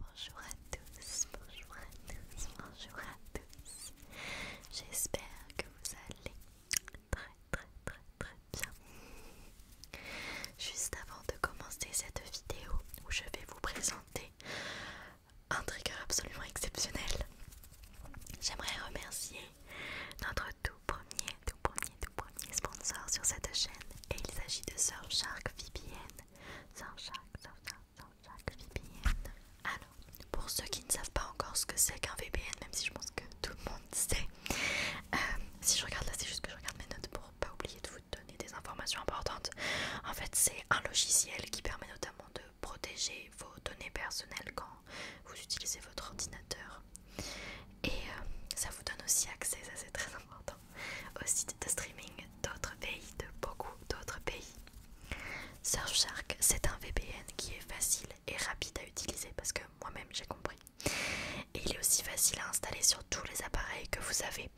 Bonjour à tous, bonjour à tous, bonjour à tous. J'espère que vous allez très très très très bien. Juste avant de commencer cette vidéo où je vais vous présenter un trigger absolument exceptionnel. J'aimerais remercier notre tout premier, tout premier, tout premier sponsor sur cette chaîne et il s'agit de Surfshark VPN. Surfshark, Surfshark, Surfshark VPN. Alors, pour ceux qui ne savent pas encore ce que c'est qu'un VPN, même si je pense que tout le monde sait, euh, si je regarde là, c'est juste que je regarde mes notes pour pas oublier de vous donner des informations importantes. En fait, c'est un logiciel qui permet notamment de protéger vos données personnelles quand vous utilisez votre ordinateur. Et euh, ça vous donne aussi accès, ça c'est très important, aux sites de streaming d'autres pays, de beaucoup d'autres pays. Surfshark, c'est un VPN qui est facile et rapide à utiliser parce que moi-même j'ai compris. Et il est aussi facile à installer sur tous les appareils que vous avez.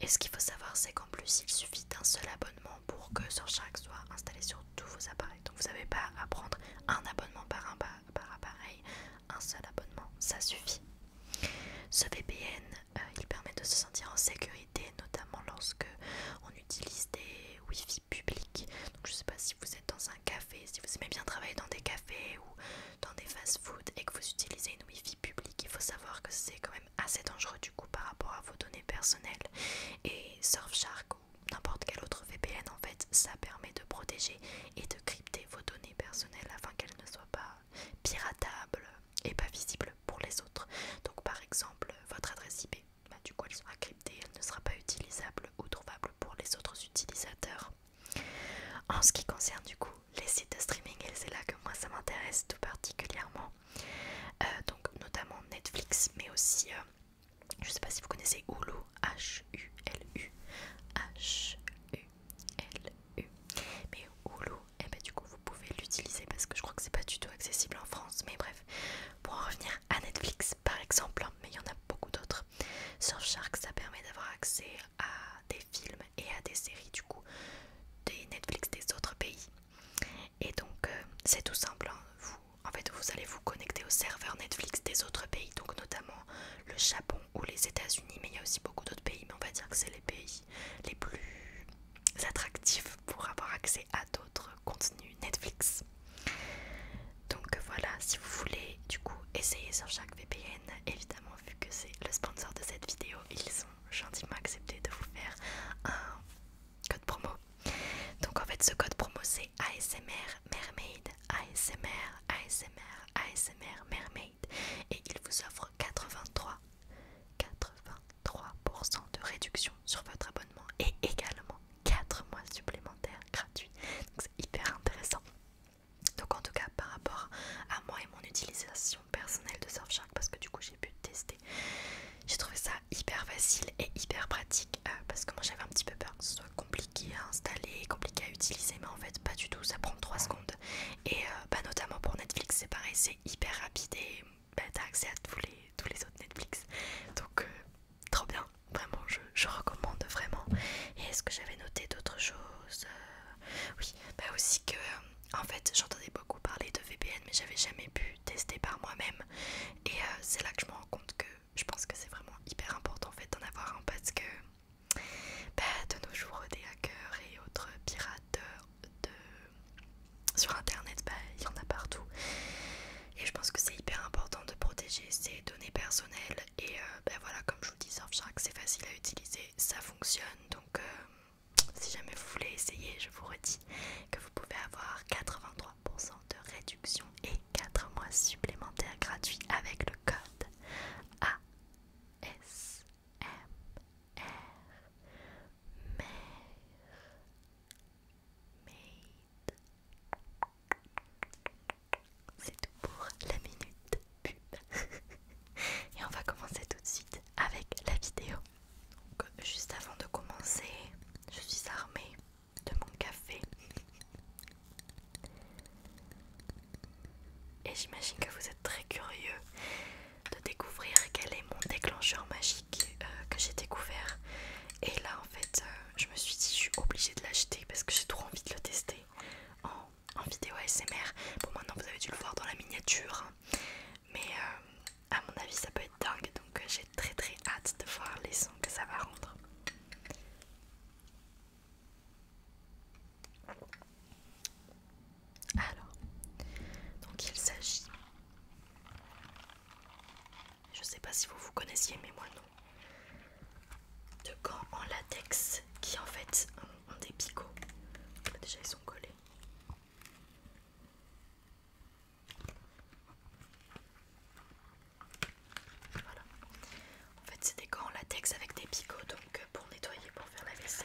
Et ce qu'il faut savoir, c'est qu'en plus, il suffit d'un seul abonnement pour que Surcharge soit installé sur tous vos appareils. Donc vous n'avez pas à prendre un abonnement par, un, par appareil, un seul abonnement, ça suffit. Ce VPN, euh, il permet de se sentir en sécurité, notamment lorsque on utilise des Wifi fi publics. je ne sais pas si vous êtes dans un café, si vous aimez bien travailler dans des cafés ou dans des fast-food et que vous utilisez une Wifi fi publique, il faut savoir que c'est quand même assez dangereux du coup par rapport à vos données personnelles et Surfshark ou n'importe quel autre VPN en fait ça permet de protéger et de crypter vos données personnelles afin qu'elles ne soient pas piratables et pas visibles pour les autres donc par exemple votre adresse IP bah, du coup elle sera cryptée elle ne sera pas utilisable ou trouvable pour les autres utilisateurs en ce qui concerne du coup les sites de streaming et c'est là que moi ça m'intéresse tout particulièrement euh, donc notamment Netflix, mais aussi, euh, je sais pas si vous connaissez Hulu, H-U-L-U, H-U-L-U. Mais Hulu, et eh ben, du coup vous pouvez l'utiliser parce que je crois que c'est pas du tout accessible en France, mais bref. Pour en revenir à Netflix par exemple, hein, mais il y en a beaucoup d'autres. Shark ça permet d'avoir accès à des films et à des séries du coup des Netflix des autres pays. Et donc euh, c'est tout simple, hein. vous, en fait vous allez vous connecter au serveur Netflix des autres pays, donc notamment le Japon ou les États-Unis, mais il y a aussi beaucoup d'autres pays, mais on va dire que c'est les pays les plus attractifs pour avoir accès à d'autres contenus Netflix. Donc voilà, si vous voulez du coup essayer sur chaque VPN, évidemment vu que c'est le sponsor de cette vidéo, ils ont gentiment accepté de vous faire un code promo. Donc en fait ce code promo c'est ASMR Mermaid, ASMR, ASMR, ASMR Mermaid et il vous offre 83 83% de réduction sur votre abonnement et également 4 mois supplémentaires gratuits. Donc c'est hyper intéressant. Donc en tout cas par rapport à moi et mon utilisation personnelle de Surfshark parce que du coup j'ai pu tester. J'ai trouvé ça hyper facile et hyper pratique euh, parce que moi j'avais un petit peu peur que ce soit compliqué à installer, compliqué à utiliser, mais en fait pas du tout, ça prend 3 secondes. Et euh, bah, notamment pour Netflix, c'est pareil, c'est hyper rapide et bah, t'as accès à tous les, tous les autres Netflix. Donc, euh, trop bien, vraiment, je, recommande vraiment. Et est-ce que j'avais noté d'autres choses Oui, bah aussi que en fait j'entendais beaucoup parler de VPN mais j'avais jamais pu tester par moi-même et euh, c'est là que je me rends compte que je pense que c'est vraiment hyper important en fait d'en avoir un parce que bah, de nos jours des hackers et autres pirates sur internet bah, il y en a partout et je pense que c'est hyper important de protéger ses données personnelles et ben voilà comme je vous dis Surfshark c'est facile à utiliser ça fonctionne donc euh, si jamais vous voulez essayer, je vous redis que vous pouvez avoir 83% de réduction et 4 mois supplémentaires gratuits avec le code ASMR. C'est tout pour la minute pub. Et on va commencer tout de suite avec la vidéo. Donc, euh, juste avant de commencer, je suis armée de mon café. Et j'imagine que vous êtes très curieux de découvrir quel est mon déclencheur magique euh, que j'ai découvert. Et là, en fait, euh, je me suis dit, je suis obligée de l'acheter parce que j'ai trop envie de le tester en, en vidéo ASMR. Bon, maintenant, vous avez dû le voir dans la miniature. Hein mais euh, à mon avis ça peut être dingue donc euh, j'ai très très hâte de voir les sons que ça va rendre alors donc il s'agit je sais pas si vous vous connaissiez mais moi non de gants en latex qui en fait ont des picots déjà ils sont collés en fait, c'est des gants en latex avec des picots, donc euh, pour nettoyer, pour faire la vaisselle.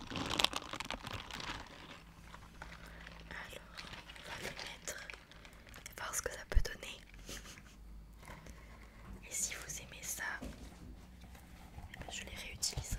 Alors, on va le mettre et voir ce que ça peut donner. Et si vous aimez ça, je les réutiliserai.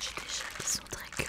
J'ai des chats qui sont très curieux.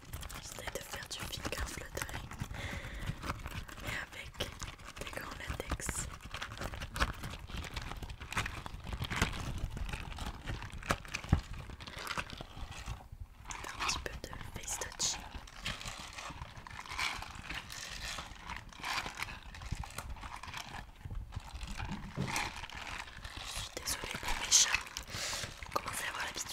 J'essaie de faire du finger fluttering mais avec des gants latex. un petit peu de face touch. Je suis désolée pour mes chats. Comment commencez à avoir l'habitude.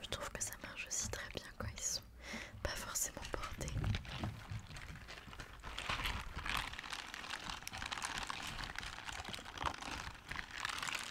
Je trouve que ça marche aussi très bien quand ils sont pas forcément portés.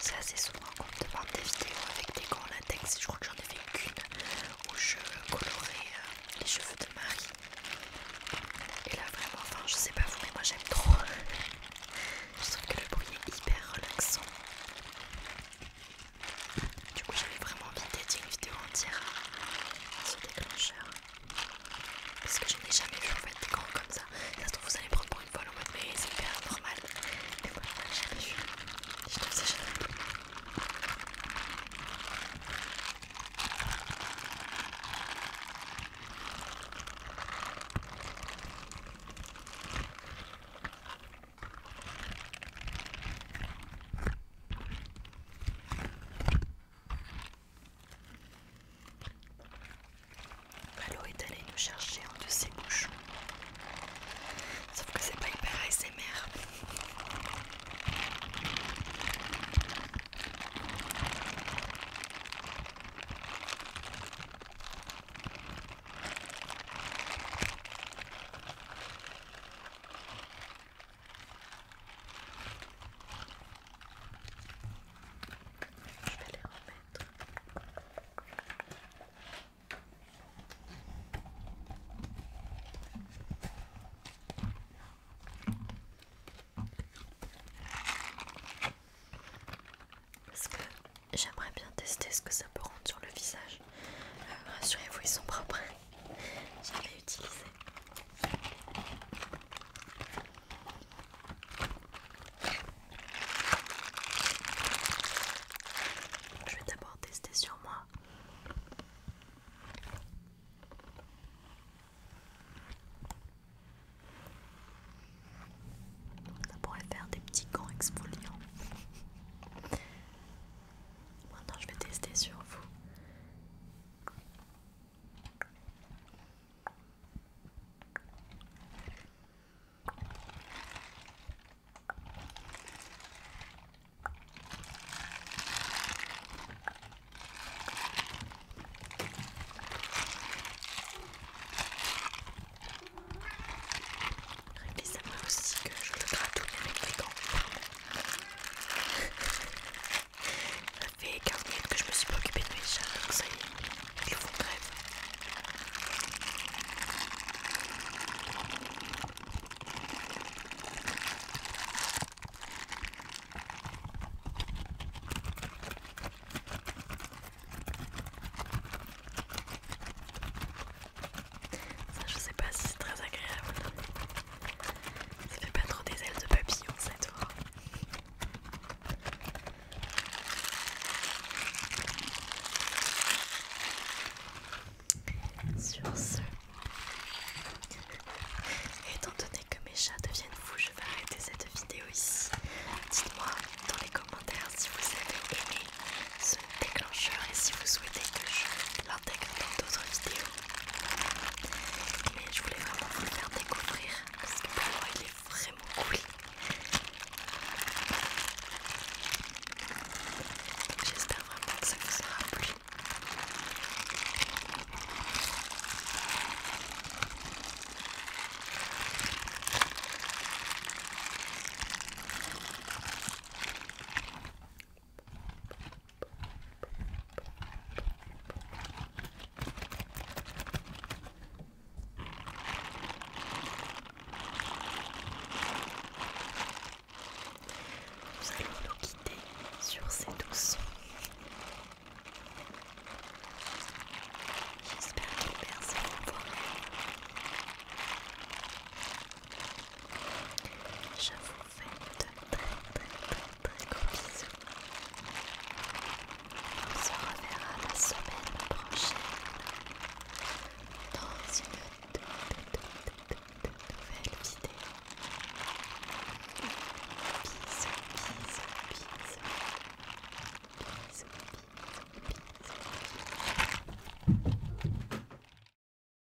C'est assez souvent qu'on me demande des vidéos avec des gants latex. Je crois que j'en ai fait qu'une où je colorais euh, les cheveux de Marie. Et là, vraiment, enfin, je sais pas vous, mais moi j'aime trop. je trouve que le bruit est hyper relaxant. Du coup, j'avais vraiment envie de une vidéo entière à ce déclencheur. Parce que je n'ai jamais vu en fait des grands comme ça. Ça se trouve, vous allez prendre pour une fois en mode, mais c'est hyper normal. Mais voilà, j'ai vu. Je trouve ça jamais l'eau est allé nous chercher un de ses bouchons. Sauf que c'est pas hyper ASMR. Je vais les remettre. Parce que j'aimerais bien tester ce que ça peut rendre sur le visage. Euh, rassurez-vous, ils sont propres. ai utilisé. Je vais d'abord tester sur moi. Ça pourrait faire des petits gants exfoliants. Maintenant, je vais tester sur vous. Rémi, moi aussi que je le gratouille avec les gants. Ça fait 15 minutes que je me suis pas occupée de mes chats, alors ça y est, ils font grève. Ça, je sais pas si c'est très agréable. Ça fait pas trop des ailes de papillon cette fois. Sur ce, étant donné que mes chats deviennent fous, je vais arrêter cette vidéo ici. Dites-moi dans les commentaires si vous avez aimé ce déclencheur et si vous souhaitez que je l'intègre dans d'autres vidéos. Mais je voulais vraiment vous faire découvrir parce que pour moi il est vraiment cool. J'espère vraiment que ça vous aura plu. Nous allons nous quitter sur ces douces sons. J'espère que personne ne voit Je vous fais de très très très très gros bisous. On se reverra la semaine prochaine dans une toute, nouvelle vidéo. Bisous, bisous, bisous. Bisous, bisous, bisous.